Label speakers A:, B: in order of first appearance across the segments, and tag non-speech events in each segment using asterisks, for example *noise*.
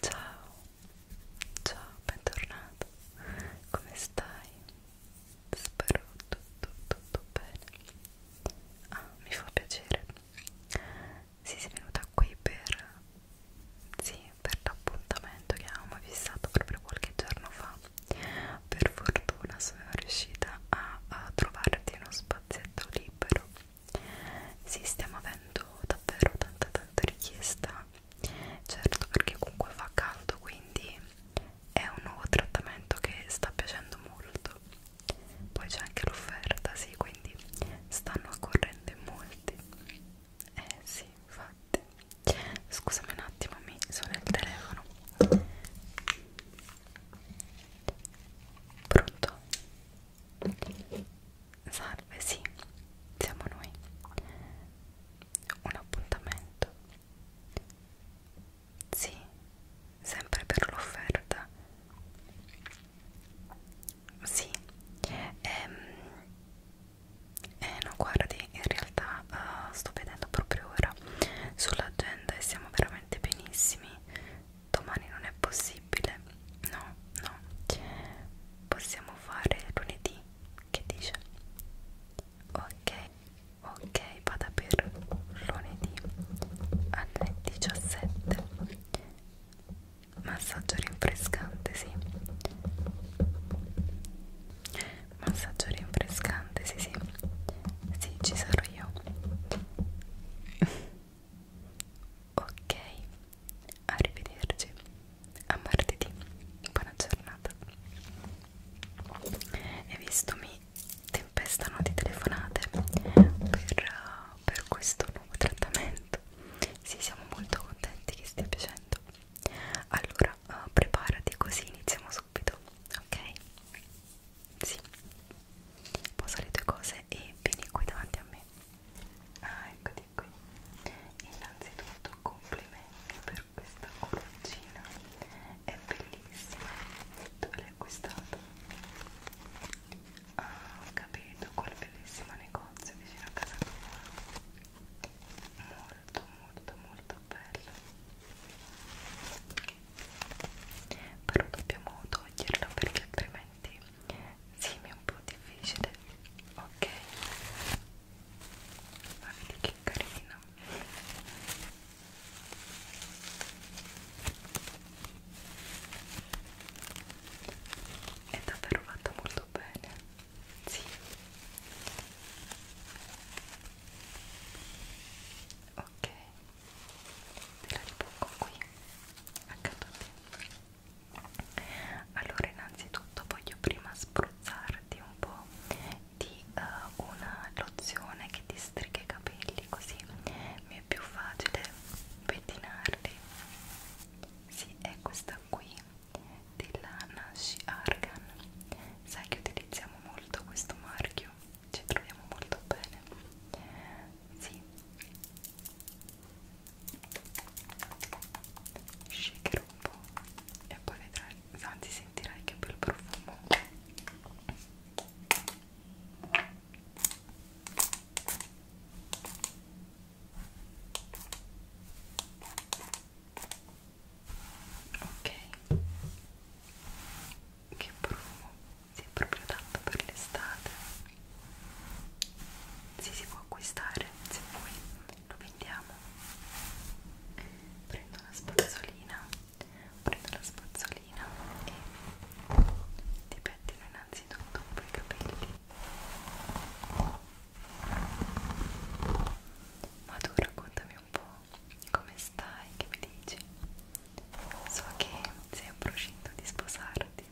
A: Ciao, ciao, bentornato, come stai? Spero tutto, tutto bene. Ah, mi fa piacere. Sì, sei venuta qui per... Sì, per l'appuntamento che avevamo fissato proprio qualche giorno fa per fortuna sono riuscita a, a trovarti uno spazietto libero sì stiamo avendo davvero tanta tanta richiesta certo perché comunque fa caldo quindi è un nuovo trattamento che sta piacendo molto poi c'è anche l'offerta sì quindi stanno accorrendo in molti eh sì, fa infatti scusami un attimo mi sono il telefono pronto salve sì siamo noi un appuntamento sì sempre per l'offerta sì ehm eh no, guardi, in realtà uh, sto vedendo proprio ora sull'agenda e siamo veramente benissimi. Domani non è possibile. No, no. Possiamo fare lunedì, che dice? Ok, ok, vada per lunedì alle 17. Massaggio rinfrescante, sì. Massaggio rinfrescante, sì sì, sì ci sarò io. *laughs* ok, arrivederci, a martedì, buona giornata. E visto mi tempestano di telefonate per, per questo nuovo trattamento, sì siamo molto contenti che stia piacendo allora, uh, preparati così iniziamo subito, ok? Sì, posa le tue cose e vieni qui davanti a me. Ah, eccoti qui. Innanzitutto complimenti per questa coroncina, è bellissima. Dove l'hai acquistata? Ah, ho capito, quel bellissimo negozio vicino a casa tua molto molto molto bello però dobbiamo toglierlo perché altrimenti sì, mi è un po' difficile ok ma vedi che carino è davvero fatto molto bene sì. Ok. Te la ripongo qui accanto a te. Allora, innanzitutto voglio prima spruzzarti un po' di uh, una lozione che ti striga i capelli, così mi è più facile pettinarli. Sì, è questa qui della Nash Argan sai che utilizziamo molto questo marchio ci troviamo molto bene sì shaker un po' e poi vedrai anzi sentirai che bel profumo ok che profumo si è proprio adatto per l'estate si si può acquistare se vuoi lo vendiamo prendo una spazzolina prendo la spazzolina e ti pettino innanzitutto un po' i capelli ma tu raccontami un po' come stai, che mi dici? So che sei in procinto di sposarti,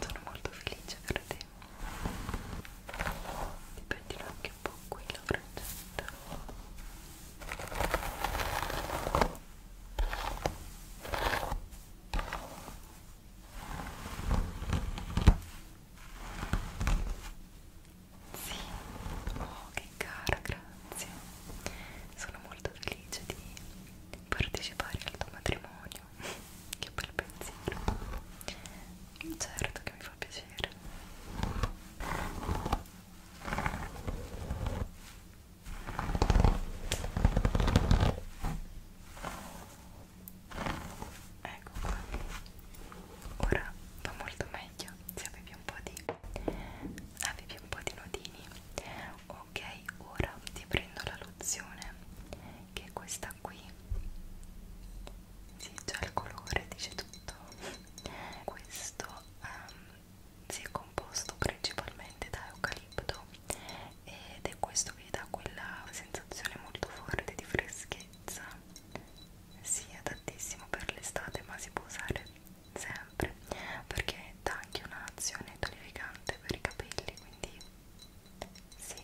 A: sono molto felice per te. Ti pettino anche un po' qui la frangetta. Certo. Sì, oh che cara, grazie. Sono molto felice di partecipare al tuo matrimonio. *laughs* che bel pensiero. Certo che mi fa piacere ecco qua ora va molto meglio se avevi un po' di avevi un po' di nodini ok ora ti prendo la lozione che è questa qui si sì, già il colore dice tutto questo um, si è composto principalmente da eucalipto ed è questo che dà quella sensazione molto forte di freschezza si sì, è adattissimo per l'estate ma si può usare sempre perché dà anche un'azione tonificante per i capelli quindi sì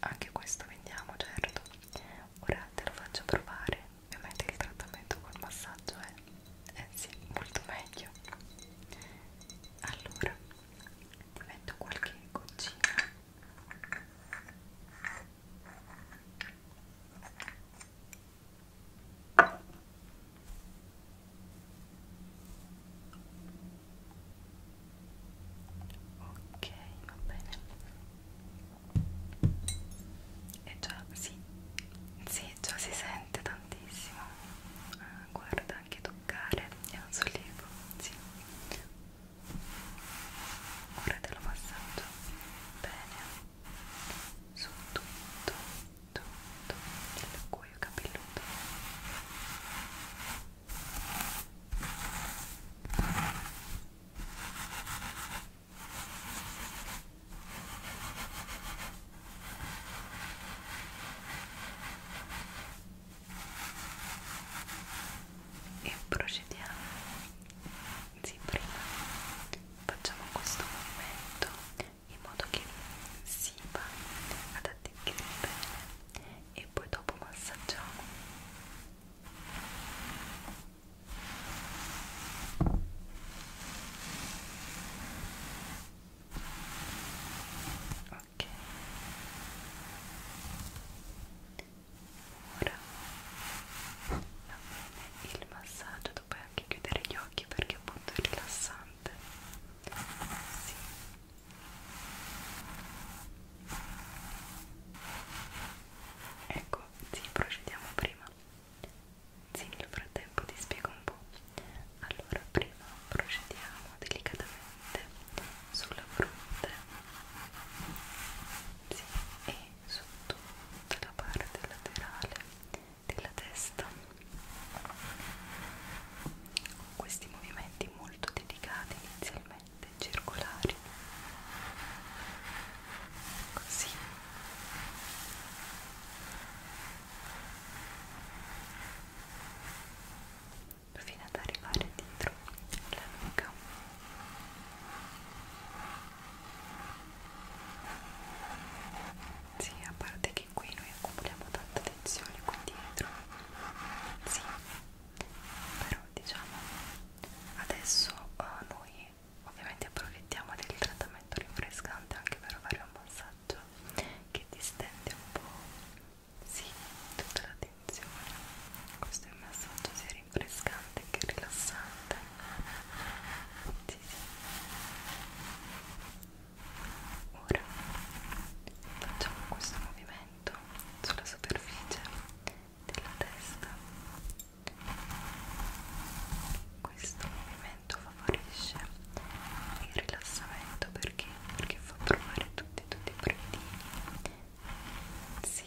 A: anche questo vendiamo certo ora te lo faccio provare ovviamente il trattamento col massaggio è eh. eh sì molto meglio allora ti metto qualche goccina ok va bene e eh già sì, sì già si sente tantissimo ah, guarda anche tu toccare è un sollievo, sì ora te lo passaggio bene su tutto, tutto il cuoio capelluto ok e procediamo sì, prima facciamo questo movimento in modo che si va ad attecchire bene e poi dopo massaggiamo e ok ora va bene il massaggio tu puoi anche chiudere gli occhi perché appunto è rilassante sì. ecco sì procediamo prima sì, nel frattempo ti spiego un po'. Allora, prima procediamo delicatamente sulla fronte sì, e su tutta la parte laterale della testa. Con questi movimenti molto delicati inizialmente, circolari. Così fino ad arrivare dietro alla nuca sì, a parte che qui noi accumuliamo tanta tensione qui dietro sì, però diciamo adesso uh, noi ovviamente approfittiamo del trattamento rinfrescante anche per fare un massaggio visaggio che distende un po' sì, tutta la tensione questo è un massaggio sia rinfrescante che rilassante sì, sì. ora facciamo questo movimento sulla superficie della testa questo movimento movimento favorisce il rilassamento perché? perché fa provare tutti tutti i brividi sì,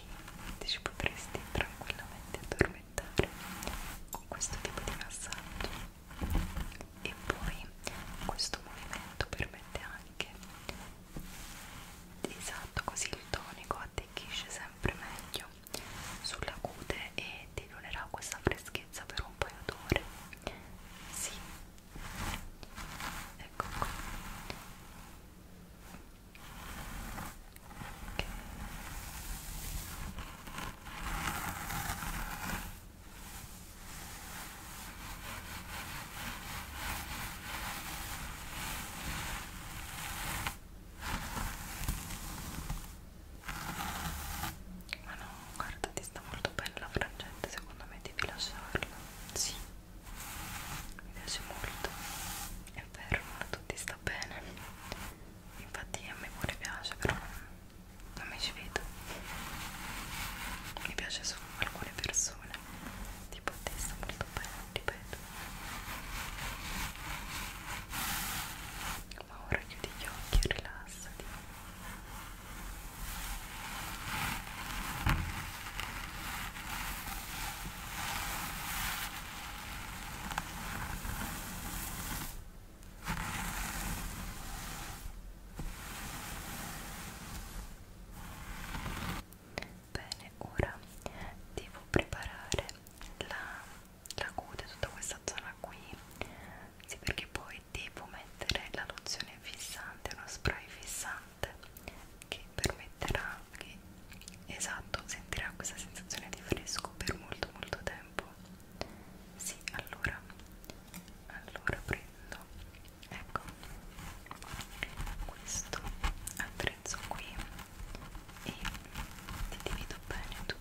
A: ci potresti tranquillamente addormentare con questo tipo di massaggio e poi questo movimento permette anche esatto così il tonico attecchisce sempre meglio sulla cute e dilunerà questa freschezza per un paio d'ore. Sì, ecco qua. Okay. Ok, ma ah, no, guarda, ti sta molto bene la frangente, secondo me devi lasciarla. Sì, mi piace molto. È vero, non tutti sta bene. Infatti a me pure piace, però non mi ci vedo. Mi piace solo alcune persone. Tipo a te sta molto bene, ripeto ma ora chiudi gli occhi e rilassati Bene, ora devo preparare la la cute, tutta questa zona qui sì perché poi devo mettere la lozione fissante, uno spray fissante che permetterà che, esatto, sentirà questa sensazione di fresco per molto molto tempo sì, allora allora prendo ecco questo attrezzo qui e ti divido bene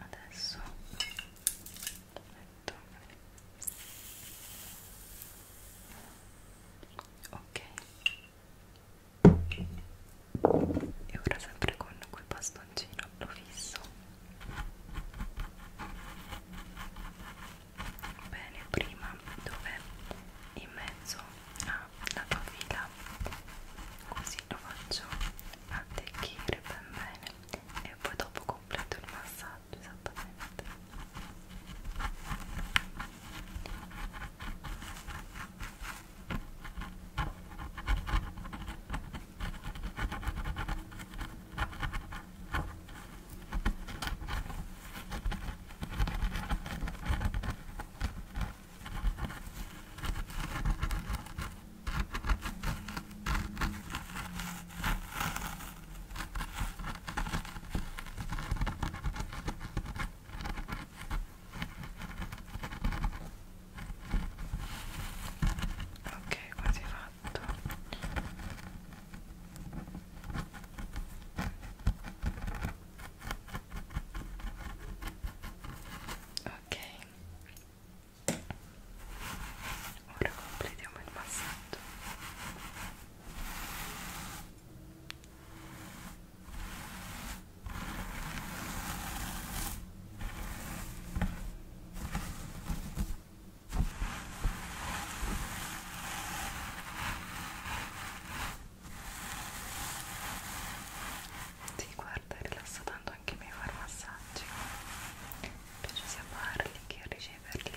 A: adesso metto ok e ora sempre con quel bastoncino lo fisso bene prima dove in mezzo alla tua fila così lo faccio attecchire ben bene e poi dopo completo il massaggio esattamente Ecco Ok, quasi fatto ok ora completiamo il massaggio ok sì, guarda, rilassa tanto anche me fare massaggi. Mi piace sia farli che riceverli. Ecco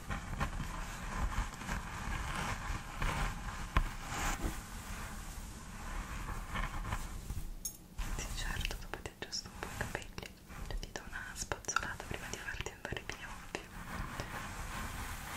A: Sì, certo, dopo ti aggiusto un po' i capelli, cioè, ti do una spazzolata prima di farti andare via ovvio. Ecco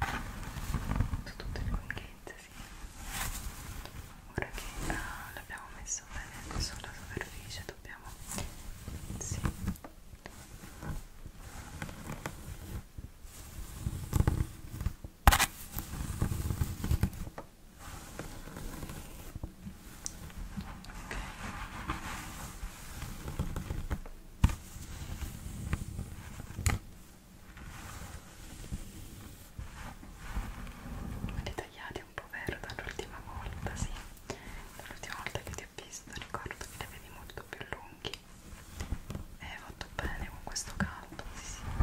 A: su tutte le lunghezze sì. ora che ah, l'abbiamo messo bene sulla superficie dobbiamo sì. Okay. ok li tagliati un po' vero dall'ultima volta, sì. Dall'ultima volta che ti ho visto ricordo che li avevi molto più lunghi. E hai fatto bene con questo caldo, sì sì. Ecco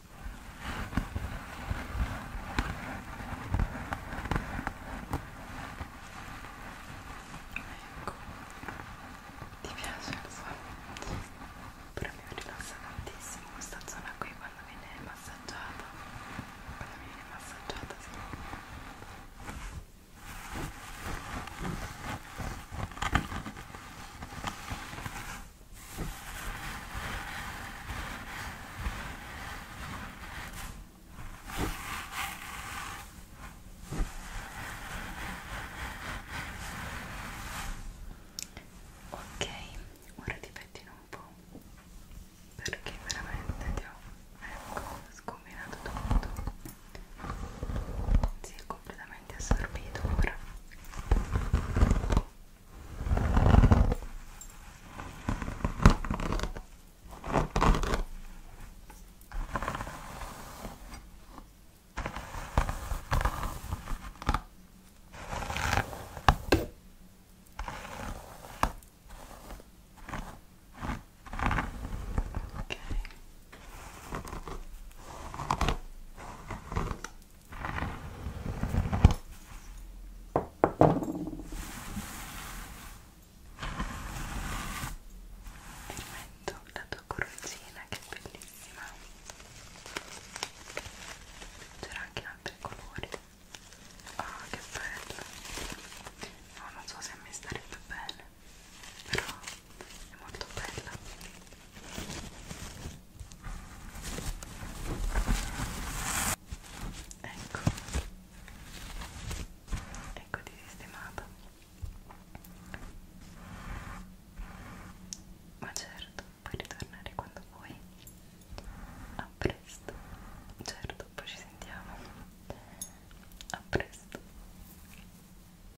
A: Ecco, ti piace lo so, però mi rilassa tantissimo questa zona qui quando viene massaggiata, quando viene massaggiata sì. Ecco. Ok, ora ti pettino un po' perché veramente ti ho ecco, scombinato tutto. Sì, completamente assorbito ora ok metto la tua corosina che è bellissima c'era anche in altri colori ah oh, che bello no, non so se mi starebbe bene però è molto bella ecco ecco di sistemata ma certo puoi ritornare quando vuoi a presto certo poi ci sentiamo a presto